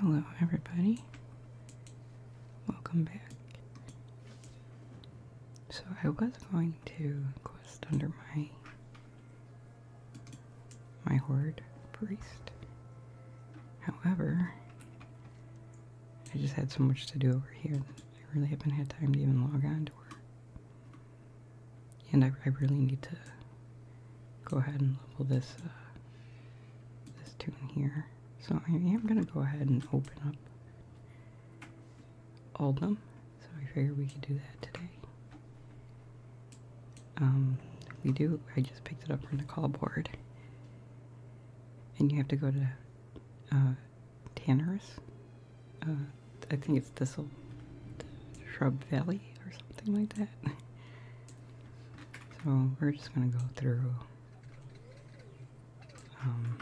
Hello, everybody. Welcome back. So, I was going to quest under my my horde priest. However, I just had so much to do over here that I really haven't had time to even log on to her. And I, I really need to go ahead and level this uh, this tune here. So I am gonna go ahead and open up Oldham. So I figured we could do that today. Um, we do. I just picked it up from the call board, and you have to go to uh, Tannerus. Uh, I think it's Thistle Shrub Valley or something like that. So we're just going to go through um,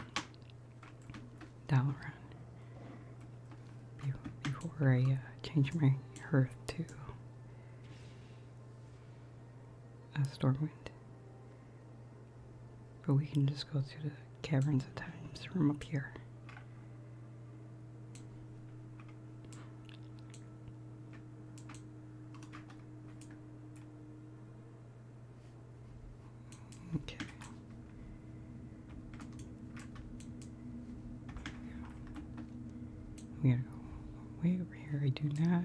Dalaran before I uh, change my hearth to a Stormwind. But we can just go through the caverns at times from up here. Okay. We gotta go way over here. I do not.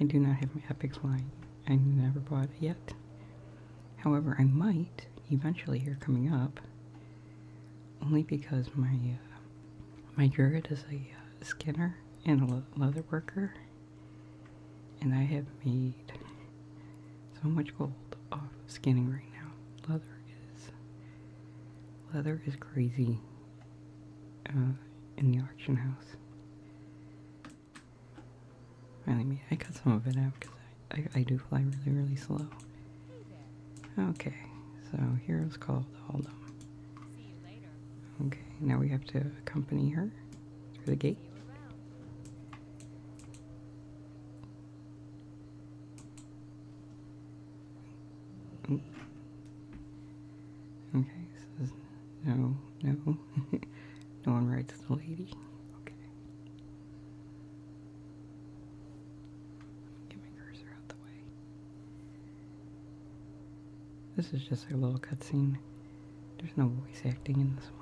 I do not have my Epic line. I never bought it yet. However, I might eventually here coming up. Only because my uh, my druid is a uh, skinner and a leather worker, and I have made so much gold off of skinning right now. Leather is leather is crazy uh, in the auction house. Finally, me. I cut some of it out because I I do fly really really slow. Okay, so here's called Oldham. Okay, now we have to accompany her through the gate. Okay, so no, no, no one writes the lady. Okay. This is just a little cutscene. There's no voice acting in this one.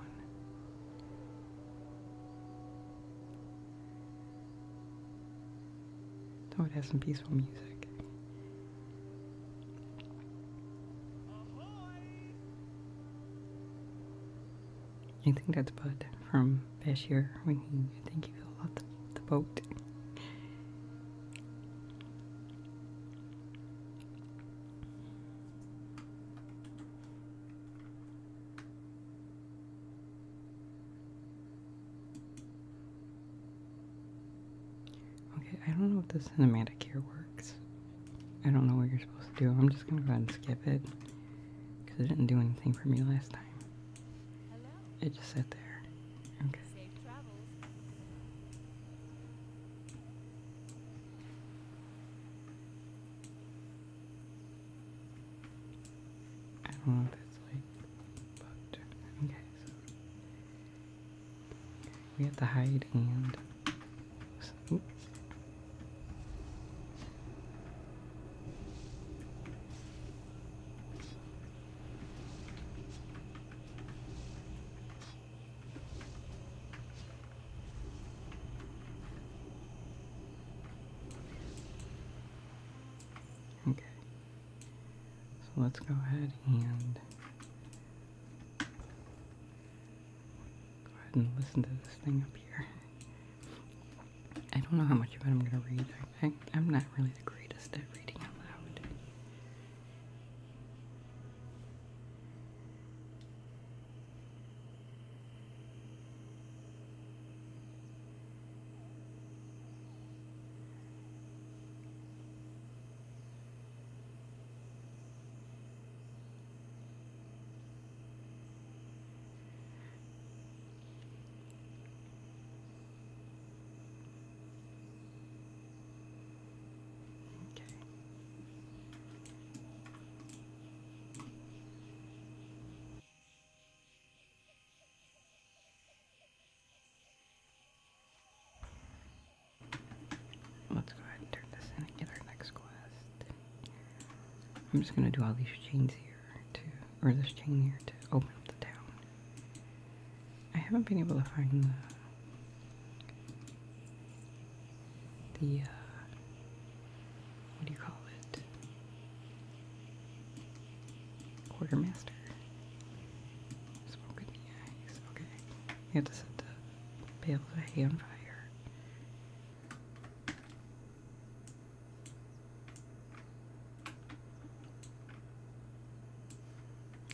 Oh, it has some peaceful music. I think that's Bud from Bashir when he, I think he fell off the boat. Okay, I don't know if the cinematic here works. I don't know what you're supposed to do. I'm just gonna go ahead and skip it because it didn't do anything for me last time. It just sat there. Okay. I don't know what that's like, but okay, we have to hide and Okay, so let's go ahead and go ahead and listen to this thing up here. I don't know how much of it I'm gonna read I, am not really the greatest at reading out loud. Okay. Let's go ahead and turn this in and get our next quest. I'm just gonna do all these chains here to, or this chain here to open up the town. I haven't been able to find the, uh, what do you call it? Quartermaster. Okay. You have to set the bale of fire.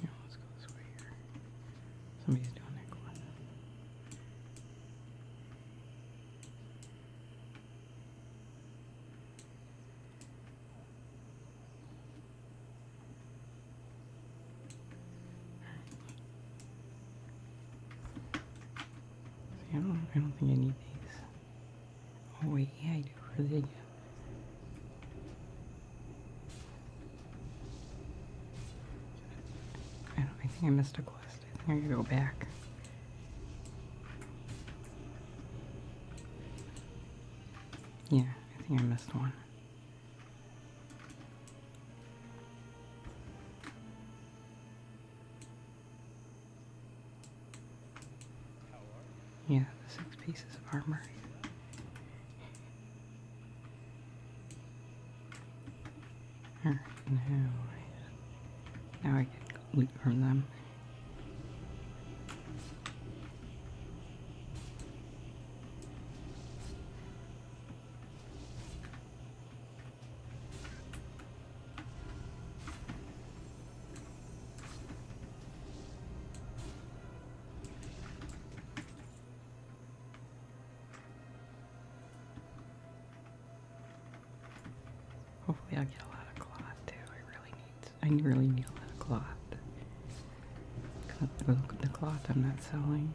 Now let's go this way here. Somebody's doing that going. I don't, I don't think I need these. Oh, wait, I do. Really, I I, think I missed a quest. I think I gotta go back. Yeah, I think I missed one. Yeah, the six pieces of armor. Alright, now, I can loot from them. Hopefully i get a lot of cloth too. I really need, I really need a lot of cloth. the cloth I'm not selling.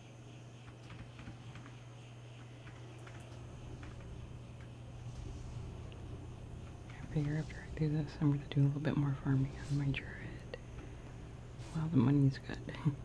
I figure after I do this, I'm going to do a little bit more farming on my dread while the money's good.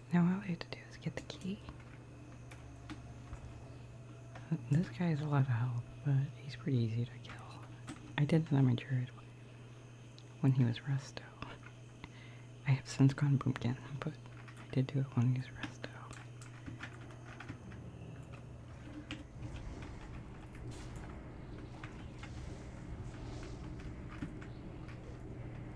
Now all I have to do is get the key. This guy is a lot of help, but he's pretty easy to kill. I did that on my druid when he was resto. I have since gone boomkin, but I did do it when he was resto.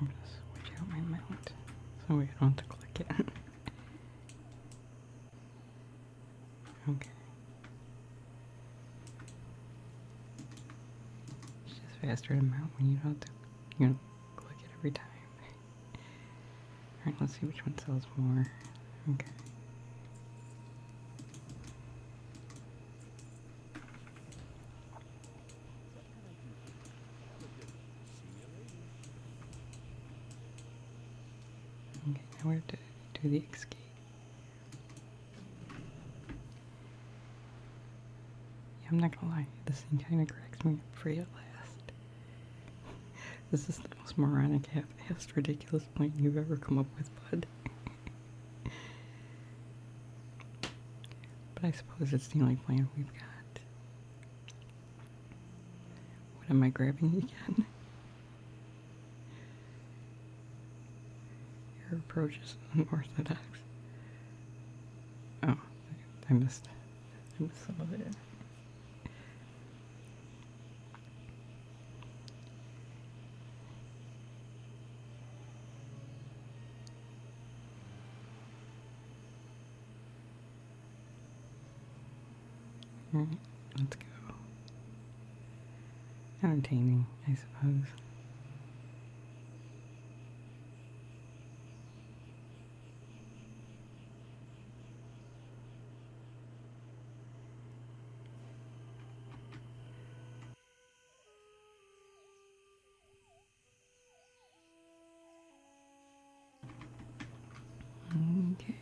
You notice which out my mount so we don't have to click it. okay. It's just faster to mount when you don't have to you know, click it every time. Alright, let's see which one sells more. Okay. Okay, now we have to do the X key. I'm not gonna lie, this thing kinda cracks me up free at last. this is the most moronic, half-assed, ridiculous plan you've ever come up with, bud. but I suppose it's the only plan we've got. What am I grabbing again? Your approach is unorthodox. Oh, I missed, some of it. Hmm, let's go. Entertaining, I suppose. Okay.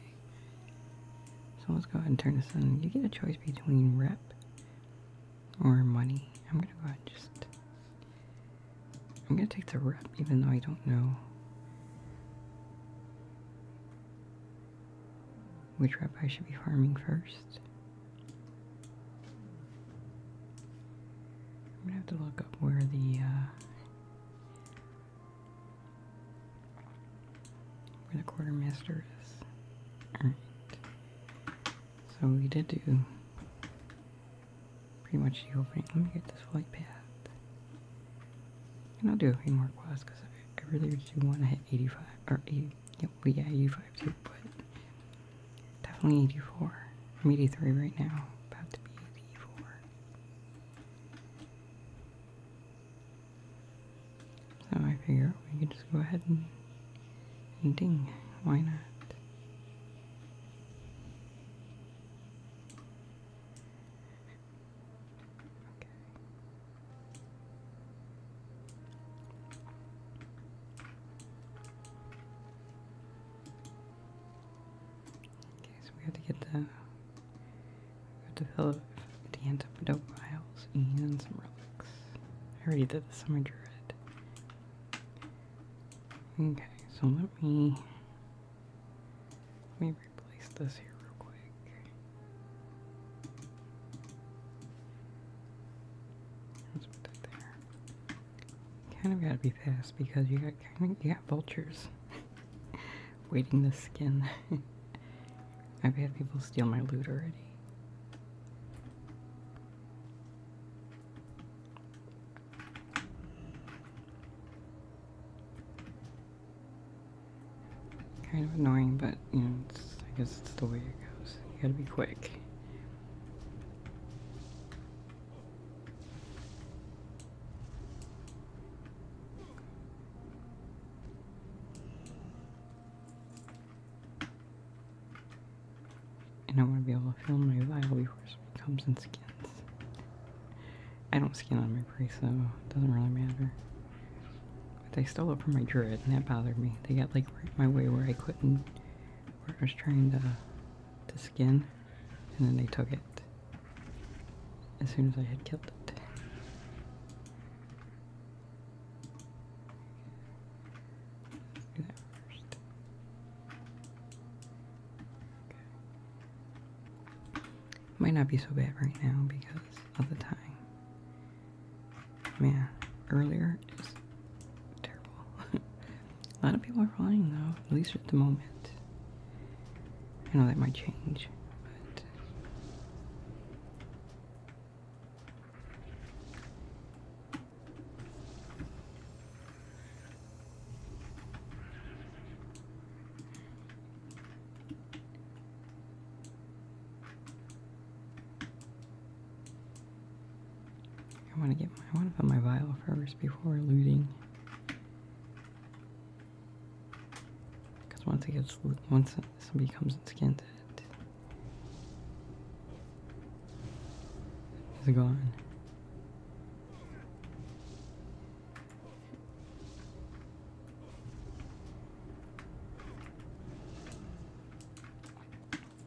So let's go ahead and turn this on. You get a choice between rep or money. I'm gonna go ahead and just I'm gonna take the rep even though I don't know which rabbi should be farming first? I'm gonna have to look up where the uh, where the quartermaster is. So we did do pretty much the opening. Let me get this flight pad, And I'll do a few more quads because I really do want to hit 85 or 80. Yep, 85 but definitely 84. I'm 83 right now, about to be 84. So I figure we could just go ahead and, ding. Why not? Okay, so we have to get the we have to fill up the antidote vials and some relics. I already did the summer druid. Okay, so let me let me replace this here real quick kind of gotta be fast because you got kind of you got vultures waiting the skin. I've had people steal my loot already. Kind of annoying, but I guess it's the way it goes. You gotta be quick. And I want to be able to film my vial before it comes and skins. I don't skin on my prey, so it doesn't really matter they stole it from my druid, and that bothered me. They got like right my way where I couldn't, where I was trying to, to skin, and then they took it as soon as I had killed it. Might not be so bad right now because of the time. Man, earlier is terrible. A lot of people are flying though, at least at the moment. I know that might change, but I want to get I want to put my vial first before looting. Because once it gets, once somebody comes and skins it, it's gone.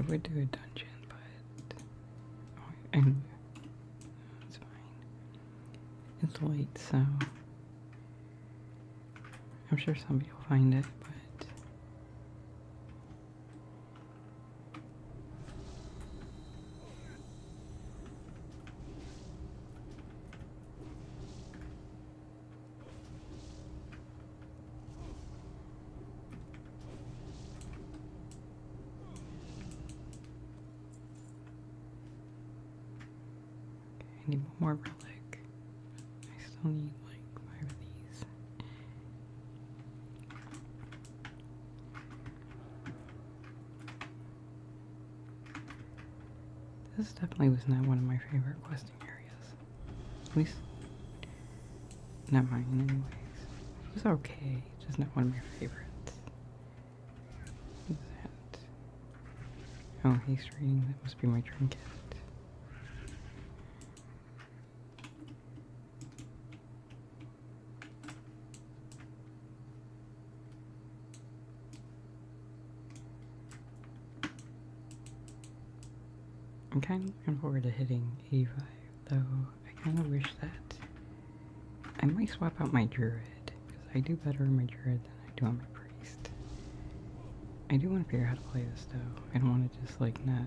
I would do a dungeon, but oh, it's fine. It's late, so I'm sure somebody will find it, but. I need more relic. I still need like five of these. This definitely was not one of my favorite quests. At least, not mine, anyways. It was okay, just not one of my favorites. What's that? Oh, he's reading. That must be my trinket. I'm kind of looking forward to hitting 85, though I kind of wish that I might swap out my druid, because I do better on my druid than I do on my priest. I do want to figure out how to play this though, I don't want to just like not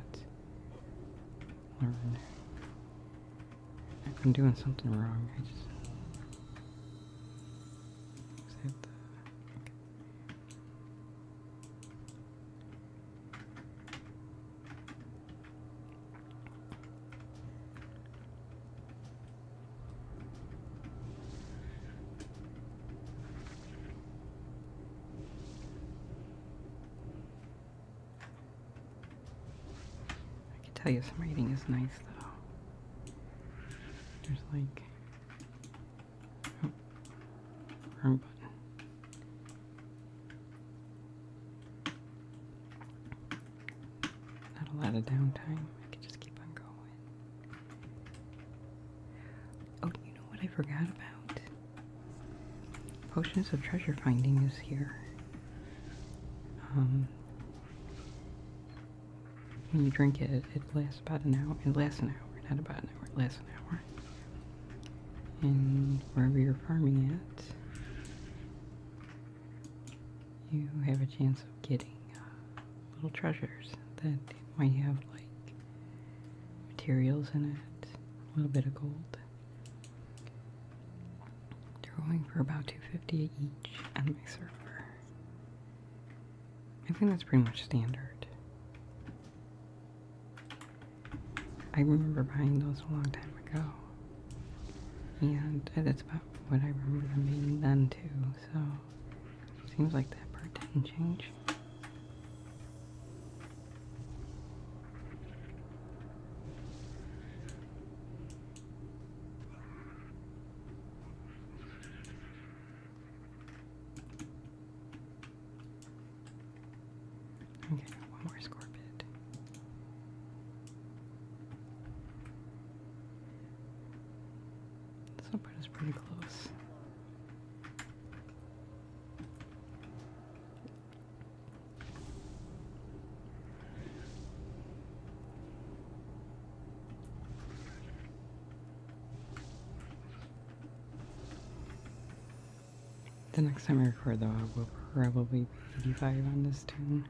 learn. I'm doing something wrong, I just... I can tell you some reading is nice though. There's like not a lot of downtime. I could just keep on going. Oh, you know what I forgot about? Potions of Treasure Finding is here. Um, when you drink it, it lasts about an hour. It lasts an hour, not about an hour, less an hour. And wherever you're farming at, you have a chance of getting uh, little treasures that might have like materials in it, a little bit of gold. They're going for about 250 each on my server. I think that's pretty much standard. I remember buying those a long time ago. And that's about what I remember them being then too, so seems like that part didn't change i one more score bit. is pretty close. The next time I record, though, I will probably be 85 on this tune.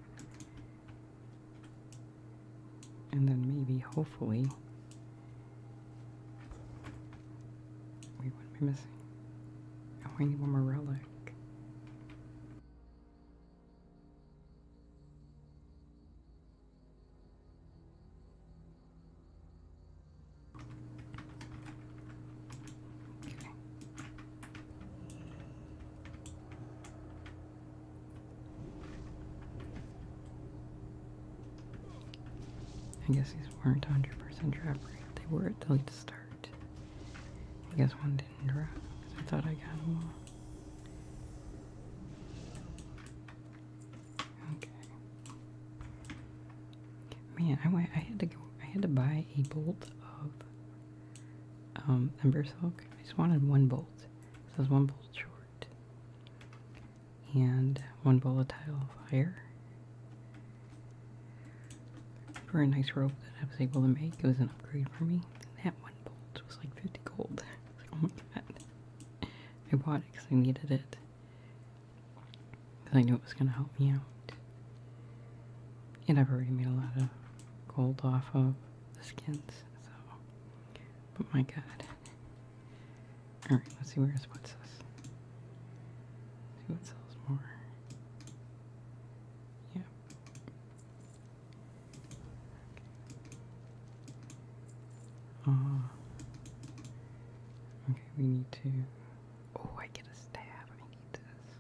And then maybe, hopefully, we wouldn't be missing. Oh, I need one more relic. I guess these weren't 100% drop rate. They were at the start. I guess one didn't drop I thought I got them all. Okay. Man, I went, I had to go. I had to buy a bolt of um, ember silk. I just wanted one bolt. So was one bolt short and one volatile fire for a nice robe that I was able to make. It was an upgrade for me. that one bolt was like 50 gold. Oh I bought it because I needed it because I knew it was going to help me out. And I've already made a lot of gold off of the skins, so. But my god. Alright, let's see where this puts us. see what sells more. Yep. Ah. Okay, we need to. Oh, I get a stab. I need this.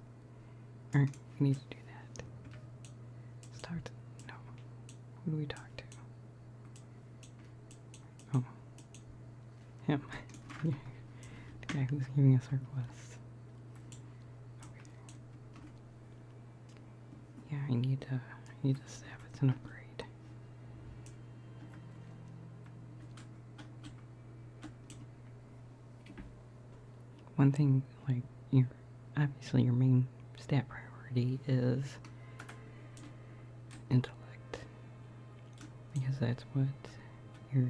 Alright, we need to do that. Start. No. Who do we talk to? Oh. Him. the guy who's giving us our quest. Okay. Yeah, I need to. I need a stab. It's an upgrade. One thing, like, you obviously your main stat priority is intellect. Because that's what your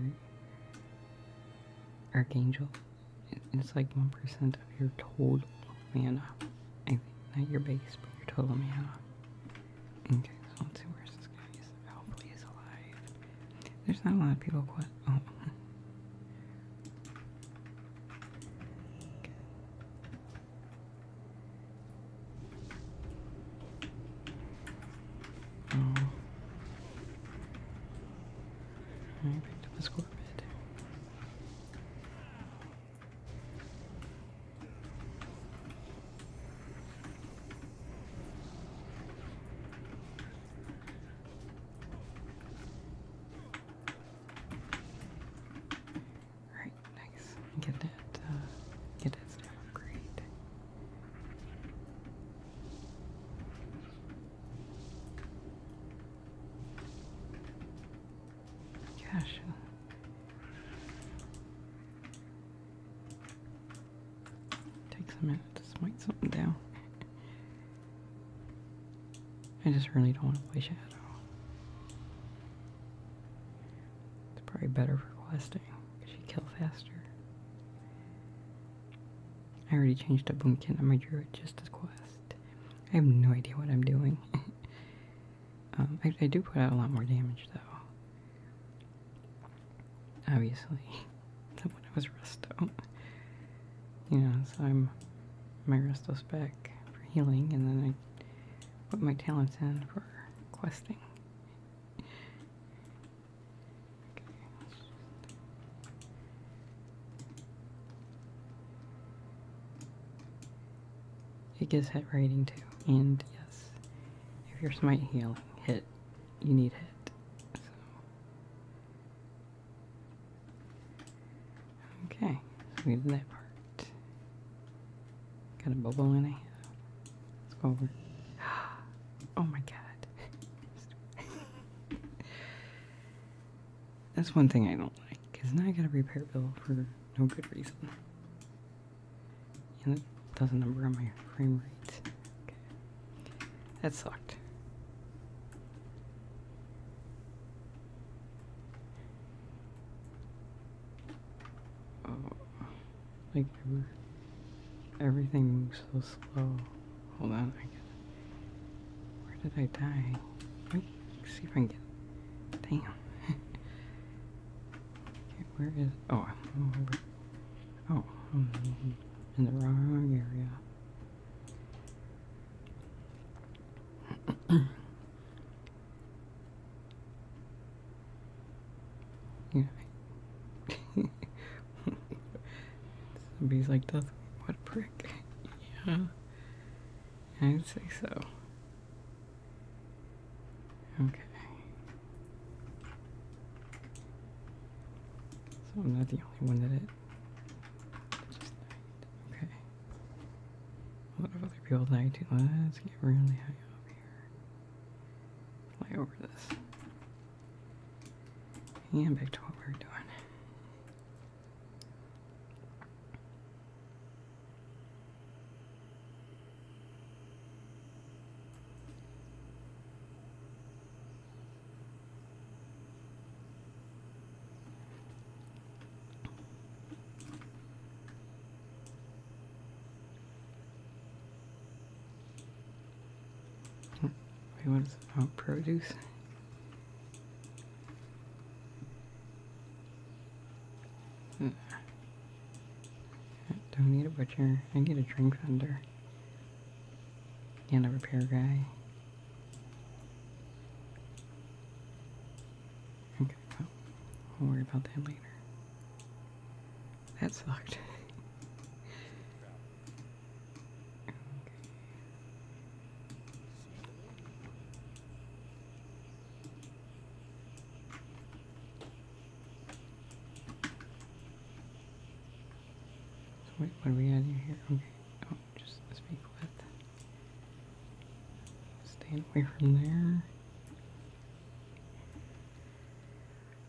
archangel, it's like 1% of your total mana. I not your base, but your total mana. Okay, let's see where's this guy. He's, hopefully he's alive. There's not a lot of people Oh. Okay. Oh. I Alright, nice. Get it, uh, get it stamp upgrade. Takes a minute to something down. I just really don't want to play shadow. It's probably better for questing, because you kill faster. I already changed to Boomkin on my druid just as quest. I have no idea what I'm doing. Um, I, do put out a lot more damage though. Obviously, than when I was resto. You know, so I'm my resto spec for healing, and then I put my talents in for questing. It gets hit rating too, and if you're smite healing, hit. You need hit. Okay, so we did that part. Got a bubble in it. Let's go over. Oh my god. That's one thing I don't like, is now I got a repair Bill for no good reason. And it does a number on my frame rate. That sucked. Oh. like everything moves so slow. Hold on, I gotta. Where did I die? Let me see if I can get. Damn. Okay, where is. Oh, oh Oh, in the wrong area. yeah. bees like, that's what a prick. yeah. I'd say so. Okay. So I'm not the only one that it. Okay. A lot other people died too. Let's get really high up here. Fly over this. And back to what we were doing. Wait, what is oh, produce? Hmm. I don't need a butcher. I need a drink vendor. And a repair guy. Okay, we'll worry about that later. That sucked. what are we got here? Okay. Oh, just speak with. Staying away from there.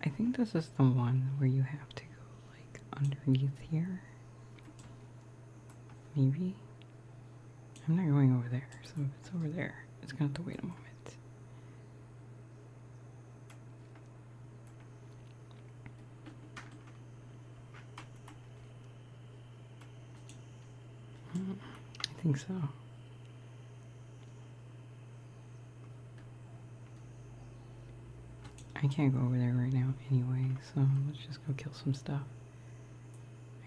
I think this is the one where you have to go like underneath here. Maybe. I'm not going over there, so if it's over there, it's gonna have to wait a moment. I think so. I can't go over there right now anyway, so let's just go kill some stuff.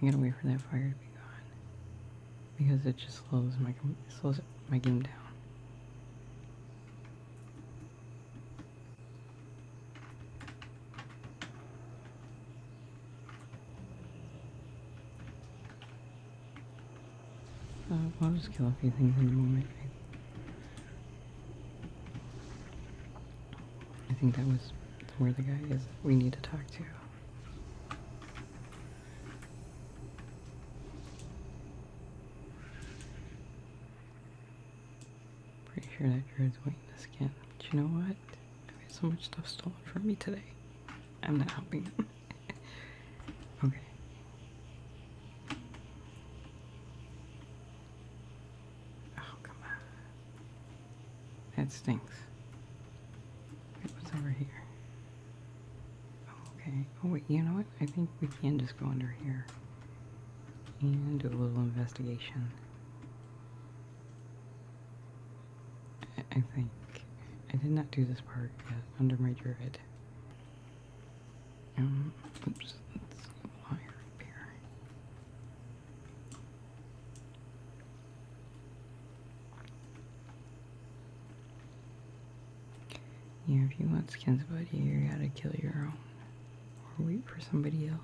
I gotta wait for that fire to be gone because it just slows my slows my game down. Uh, I'll just kill a few things in a moment. I think that was where the guy is we need to talk to. Pretty sure that drew Jared's weakness again. But you know what? I've had so much stuff stolen from me today. I'm not helping them. okay. Oh, come on. That stinks. Wait, what's over here? Oh, okay. Oh wait, you know what? I think we can just go under here and do a little investigation. I, think I did not do this part under my druid. Um, oops. Let's apply repair. Yeah, if you want skin somebody, you gotta kill your own. Or wait for somebody else.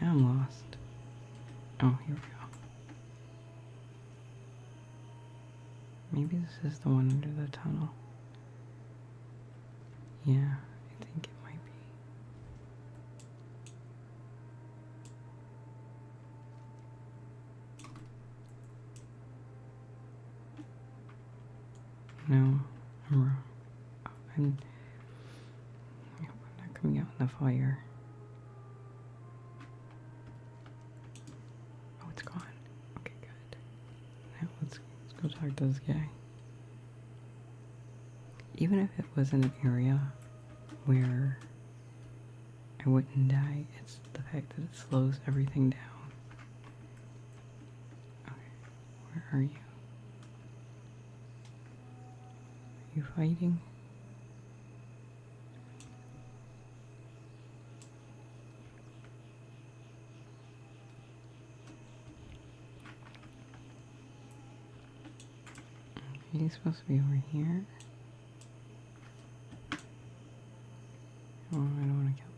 Now I'm lost. Oh, here we go. Maybe this is the one under the tunnel. Yeah, I think it might be. No, I'm wrong. I'm, oh, not coming out in the fire. Oh, it's gone. Okay, good. let's, go talk to this guy. Even if it was in an area where I wouldn't die, it's the fact that it slows everything down. Okay, where are you? Are you fighting? Okay, he's supposed to be over here. Oh, I don't want to count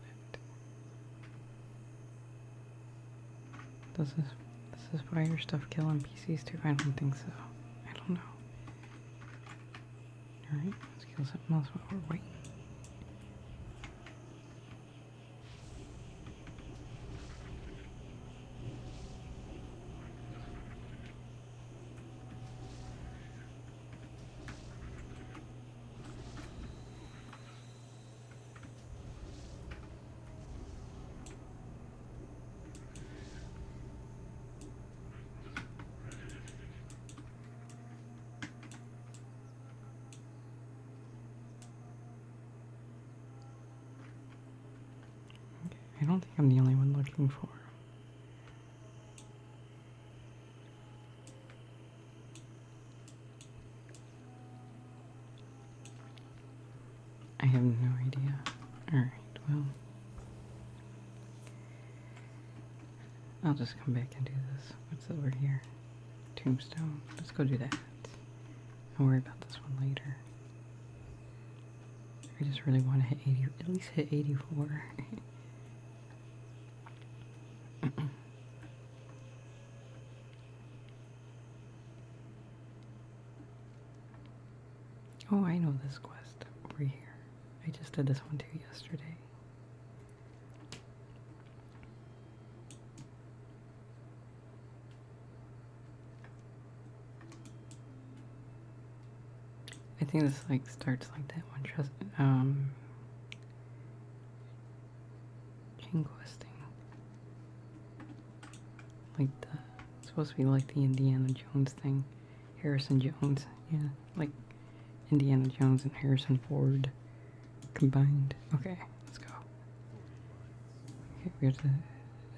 that. Does this this is why your stuff killing PCs too? I don't think so. I don't know. Alright, let's kill something else while we're waiting. I don't think I'm the only one looking for. I have no idea. Alright, well. I'll just come back and do this. What's over here? Tombstone. Let's go do that. I'll worry about this one later. I just really want to hit 80, at least hit 84. oh, I know this quest over here. I just did this one too yesterday. I think this like starts like that one trust um chain questing. Like the supposed to be like the Indiana Jones thing. Harrison Jones, yeah like Indiana Jones and Harrison Ford combined. Okay, let's go. Okay, we have the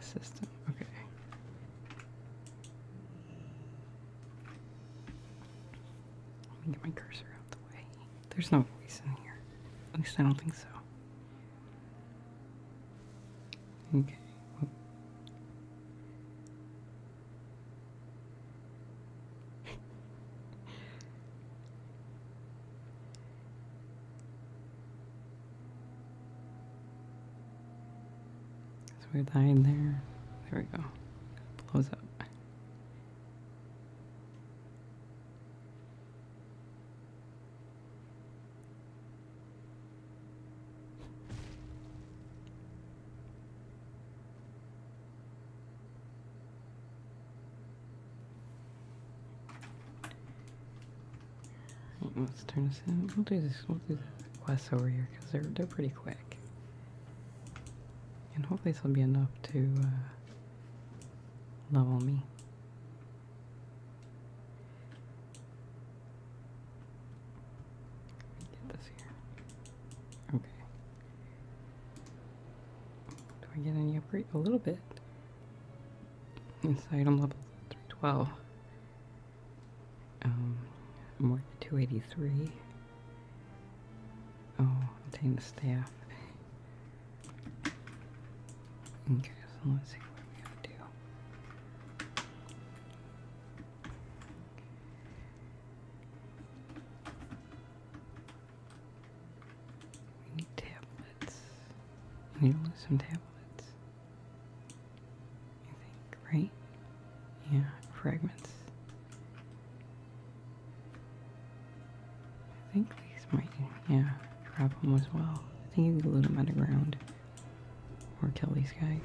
system. Okay. Let me get my cursor out the way. There's no voice in here. At least I don't think so. Okay so we're dying there. There we go. blows up. Let's turn this in. We'll do this. We'll do quests over here because they're they're pretty quick, and hopefully this will be enough to uh, level me. Get this here. Okay. Do I get any upgrade? A little bit. This item level 312. Um, more 283. Oh, obtain the staff. Okay, so let's see what we have to do. We need tablets. I need only some tablets. You think, right? Yeah, fragments. I think these might, yeah, grab them as well. I think you can loot them on the ground, or kill these guys.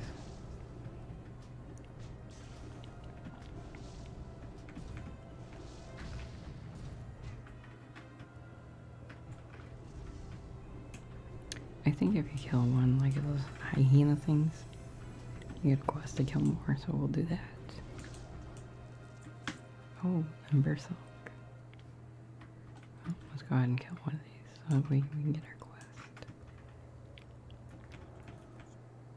I think if you kill one like those hyena things, you get a quest to kill more, so we'll do that. Oh, and Berserk. let's go ahead and kill one of these so we can get our quest.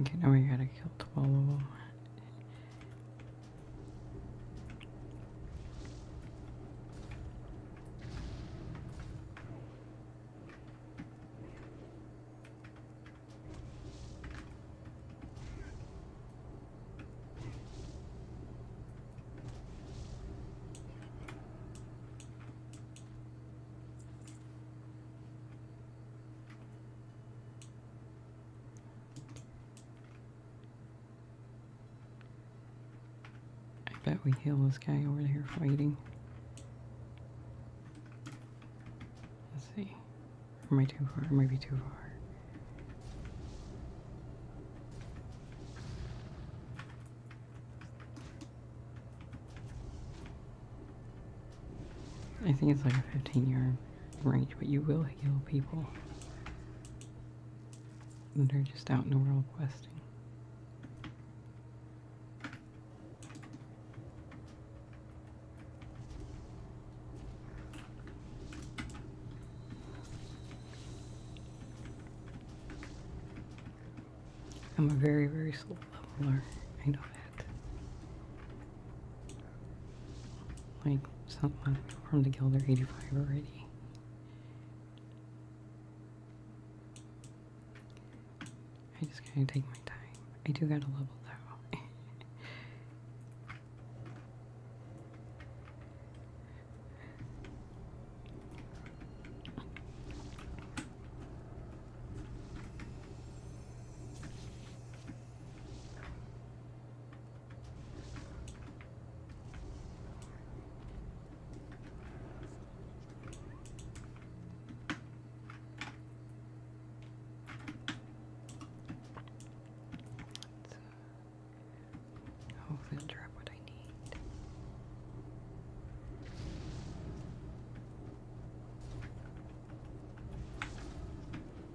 Okay, now we gotta kill 12 of them. I bet we heal this guy over here fighting. Let's see. Am I too far? Am I be too far? I think it's like a 15 year range, but you will heal people. that are just out in the world questing. I'm a very, very slow leveler. I know that. Like, something uh, from the Gilder 85 already. I just gotta take my time. I do gotta level though hopefully I'll drop what I need.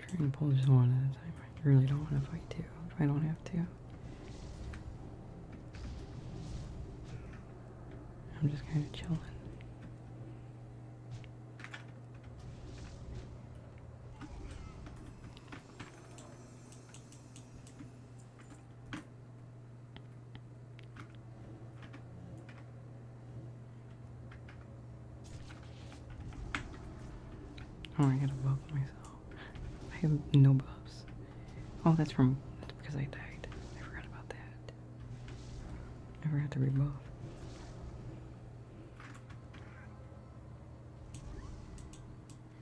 Try and pull just one at a time. I really don't want to fight two I don't have to. I'm just kind of chilling. Oh, I gotta buff myself. I have no buffs. Oh, that's from because I died. I forgot about that. I forgot to rebuff.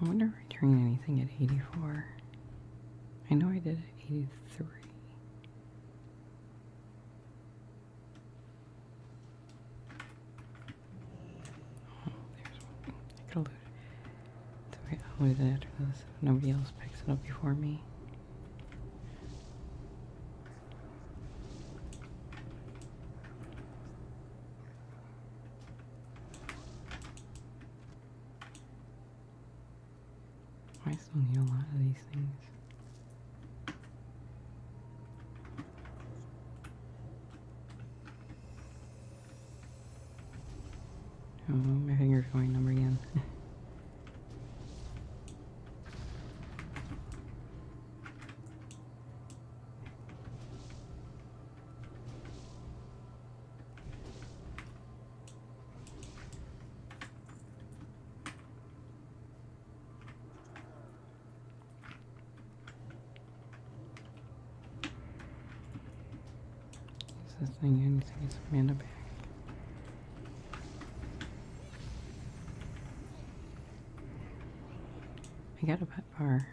I wonder if I trained anything at 84. I know I did at 83. there's one. I could elude it. So wait, I'll lose it after this. Nobody else picks it up before me. I still need a lot of these things. Oh, my finger's going numb again. Is this thing anything? It's Amanda back. I got a pet bar.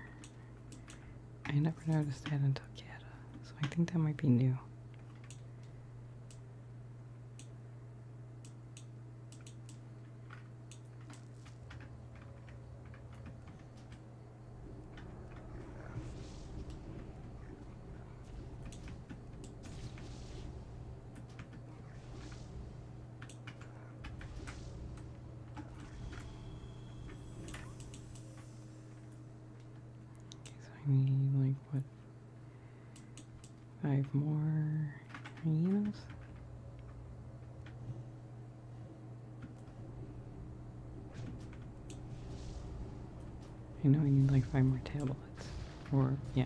I never noticed that until Kata, so I think that might be new so I need like what five more hyenas. I know I need like five more tablets, Or yeah,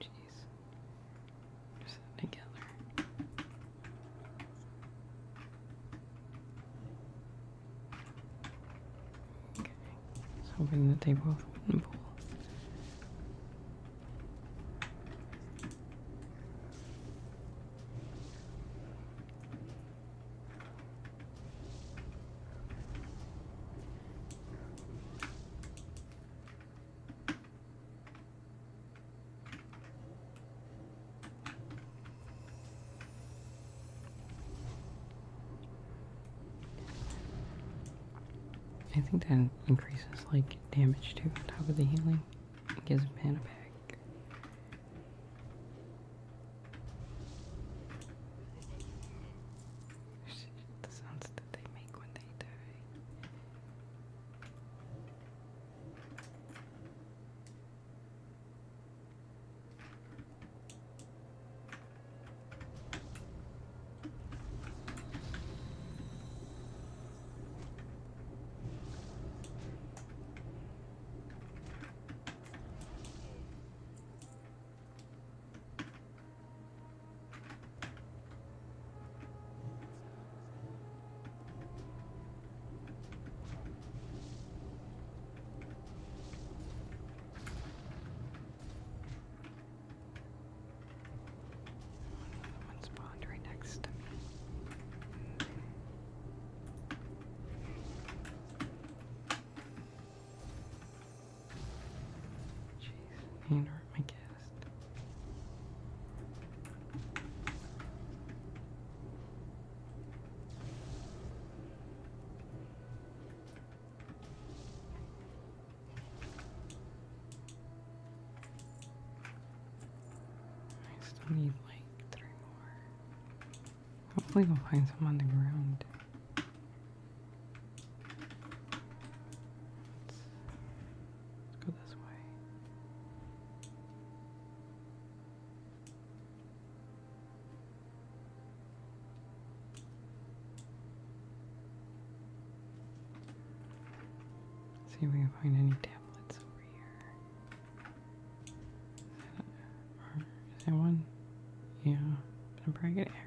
Jeez. We're sitting together. Okay. Just hoping that they both would I think that increases like damage too on top of the healing. It gives mana back. The sounds that they make when they die. Another one spawned next Jeez, need are, I I still need like three more. Hopefully, we'll find some on the ground. Let's go this way. see if we can find any tablets over here. Is that one? Yeah, I'm probably gonna arrow.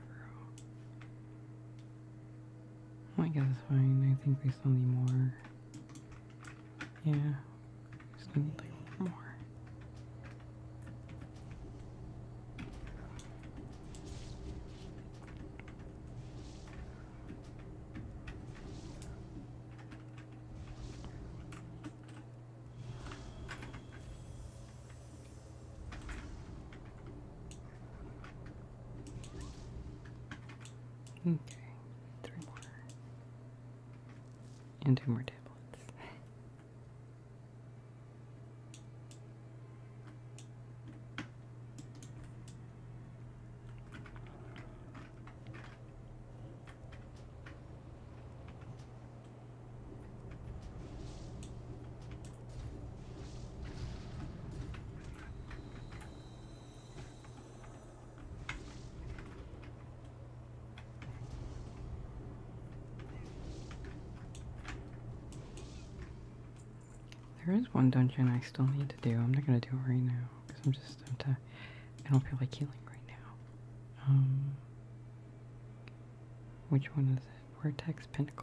I oh guess it's fine. I think they still need more. Yeah, still need like more. Okay, three more. And two more tablets. There is one dungeon I still need to do. I'm not gonna do it right now because I'm just I'm t I am just i do not feel like healing right now. Um, which one is it? Vortex Pinnacle.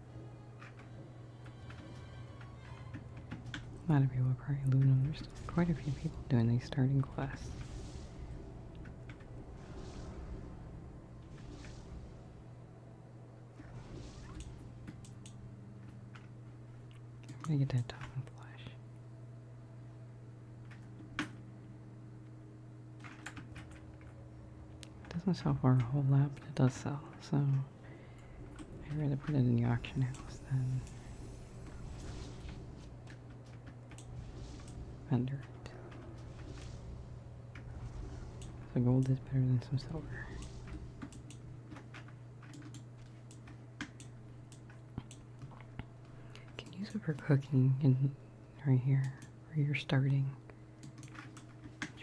A lot of people are probably aluminum. There's quite a few people doing these starting quests. i get that top flash. It doesn't sell for a whole lap, but it does sell, so I'd rather put it in the auction house than vendor it. So gold is better than some silver. You can use it for cooking right here where you're starting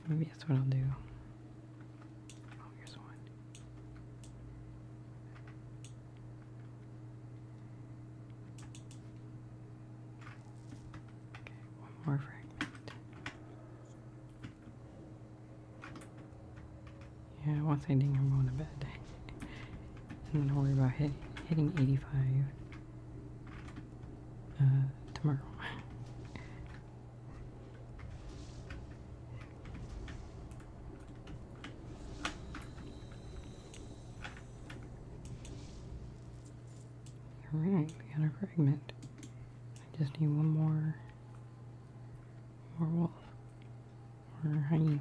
maybe that's what I'll do. Oh, here's one. one more fragment. Yeah, once I ding, I'm going to bed. I'm gonna worry about hit, hitting 85 uh, tomorrow. All right, we got a fragment. I just need one more, more wolf, or hyena.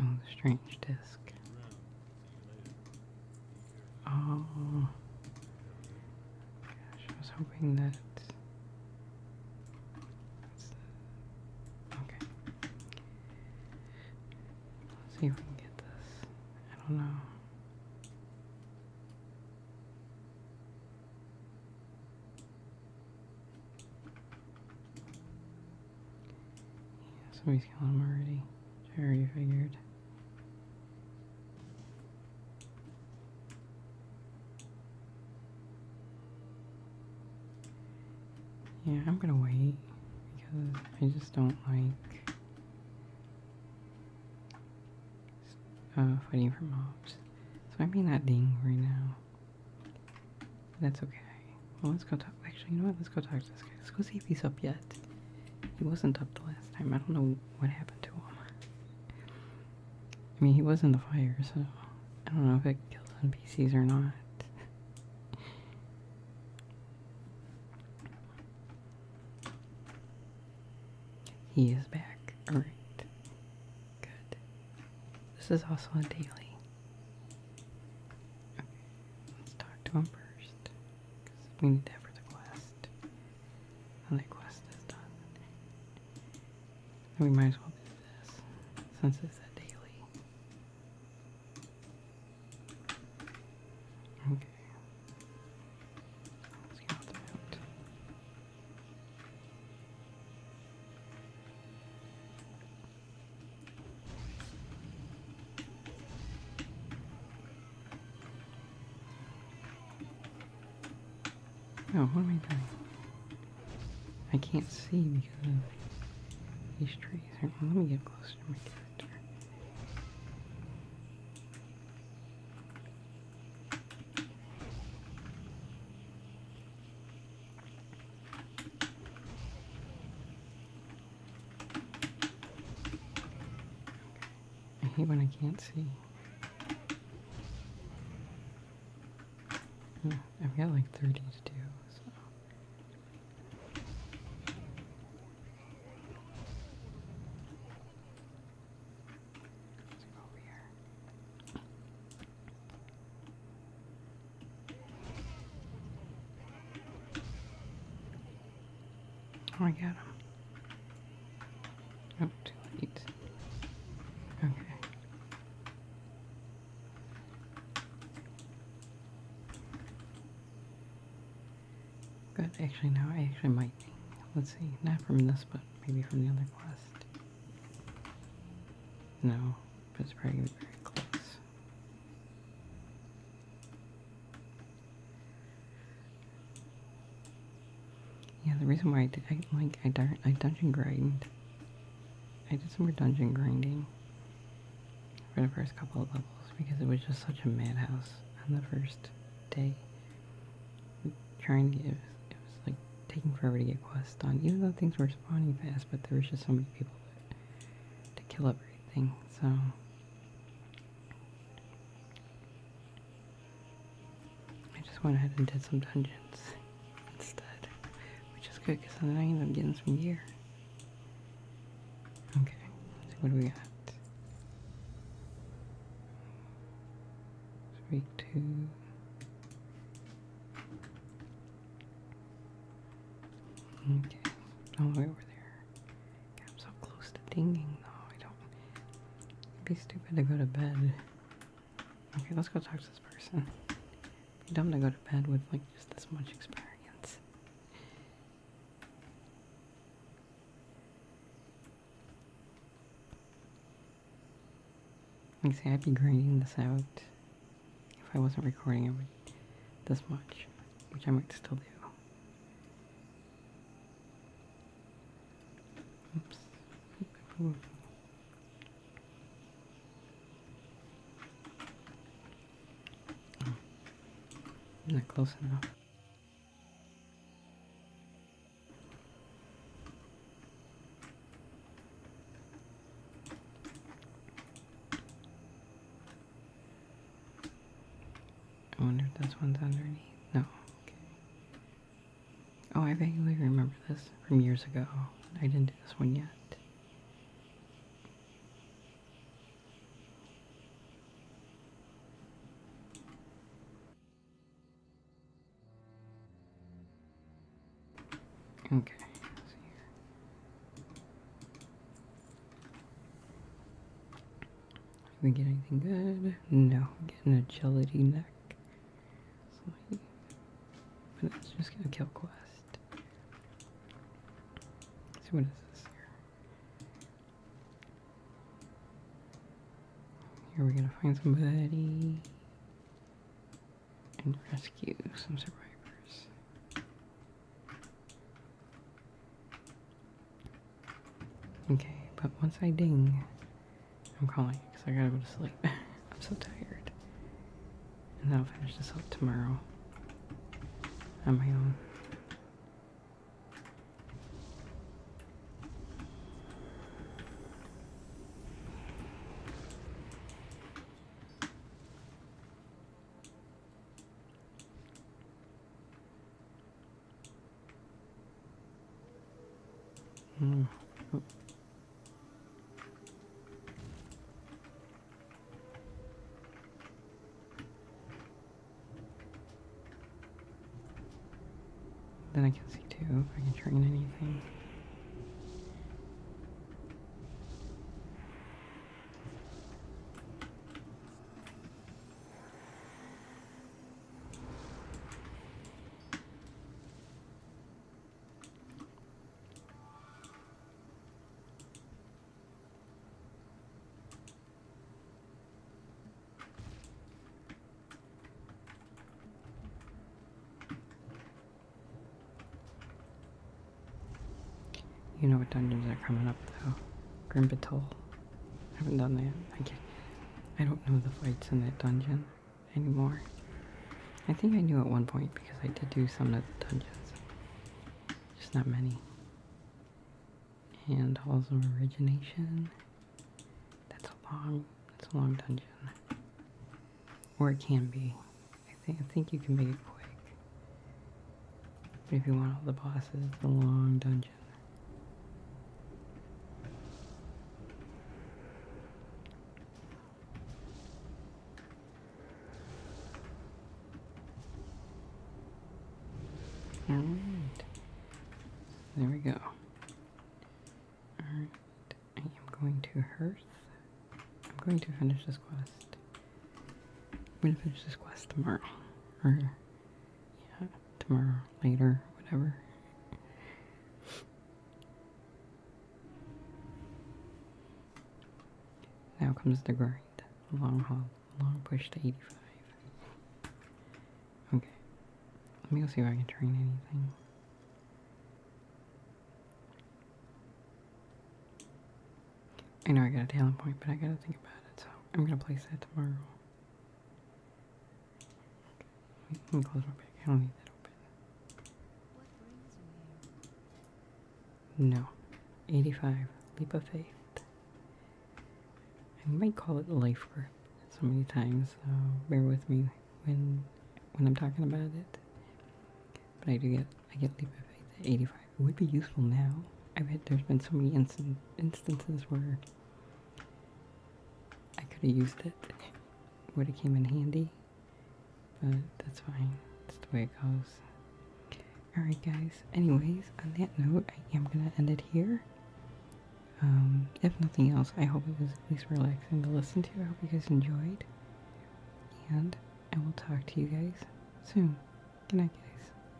Oh, strange disc. Oh, gosh, I was hoping that. okay. Let's see if we can get this. I don't know. Yeah, somebody's killing him already. I already figured. Yeah, I'm gonna wait because I just don't like uh, fighting for mobs. So I may not ding right now. that's okay let's go talk. Actually, you know what? Let's go talk to this guy. Let's go see if he's up yet. He wasn't up the last time. I don't know what happened to him. I mean, he was in the fire, so I don't know if it kills PCs or not. he is back. Alright. Good. This is also a daily. Let's talk to him first we need that for the quest. Now the quest is done. we might as well do this, since it's a daily. Okay. Oh, what am I doing? I can't see because of these trees. let me get closer to my character. I hate when I can't see. I've got like 30 to do, Oh, I got him. Oh, too late. Okay. Good. Actually, now I actually might. Let's see. Not from this, but maybe from the other quest. No, but it's probably very close. Yeah, the reason why I, did, like I, dun I dungeon grind. I did some more dungeon grinding for the first couple of levels because it was just such a madhouse on the first day. Trying to get it was like taking forever to get quests done, even though things were spawning fast. But there was just so many people to kill everything, so I just went ahead and did some dungeons instead, which is good because then I end up getting some gear. Okay, let what do we got. Three, two. Okay, all the way over there. I'm so close to dinging though. I don't. It'd be stupid to go to bed. Okay, let's go talk to this person. It'd be dumb to go to bed with like just this much experience. Like, see, I'd be grinding this out if I wasn't recording it this much which I might still do. Oops. Ooh. Oh. close enough. I wonder if this one's underneath. No. Okay. Oh, I vaguely remember this from years ago. I didn't do this one yet. Okay, did we get anything good? No, I'm getting agility neck. it's just gonna kill quest. So what is this here? Here we're gonna find somebody and rescue some survivors. Okay, but once I ding, I'm calling because I gotta go to sleep. I'm so tired. And I'll finish this up tomorrow on my own. Mm. Then I can see too if I can train anything. You know what dungeons are coming up though. Grimbatoll. I haven't done that. I don't know the fights in that dungeon anymore. I think I knew at one point because I did do some of the dungeons. Just not many. And Halls of Origination. That's a long, that's a long dungeon. Or it can be. I think, I think you can make it quick. But if you want all the bosses, it's a long dungeon. All right, there we go. All right, I am going to hearth. I'm going to finish this quest. I'm going to finish this quest tomorrow, or yeah, tomorrow, later, whatever. Now comes the grind. Long haul. Long push to 85. Okay. Let me go see if I can train anything. I know I got a talent point, but I gotta think about it, so I'm gonna place that tomorrow. Okay. Let me close my bag. I don't need that open. No. 85. Leap of faith. I might call it life group so many times, so bear with me when when I'm talking about it. But I do get I get leap of faith 85. It would be useful now. I bet there's been so many instances where I could have used it, would have came in handy, but that's fine. That's the way it goes. Alright guys, anyways, on that note, I am going to end it here. Um, if nothing else, I hope it was at least relaxing to listen to. I hope you guys enjoyed. And I will talk to you guys soon. Good night, guys.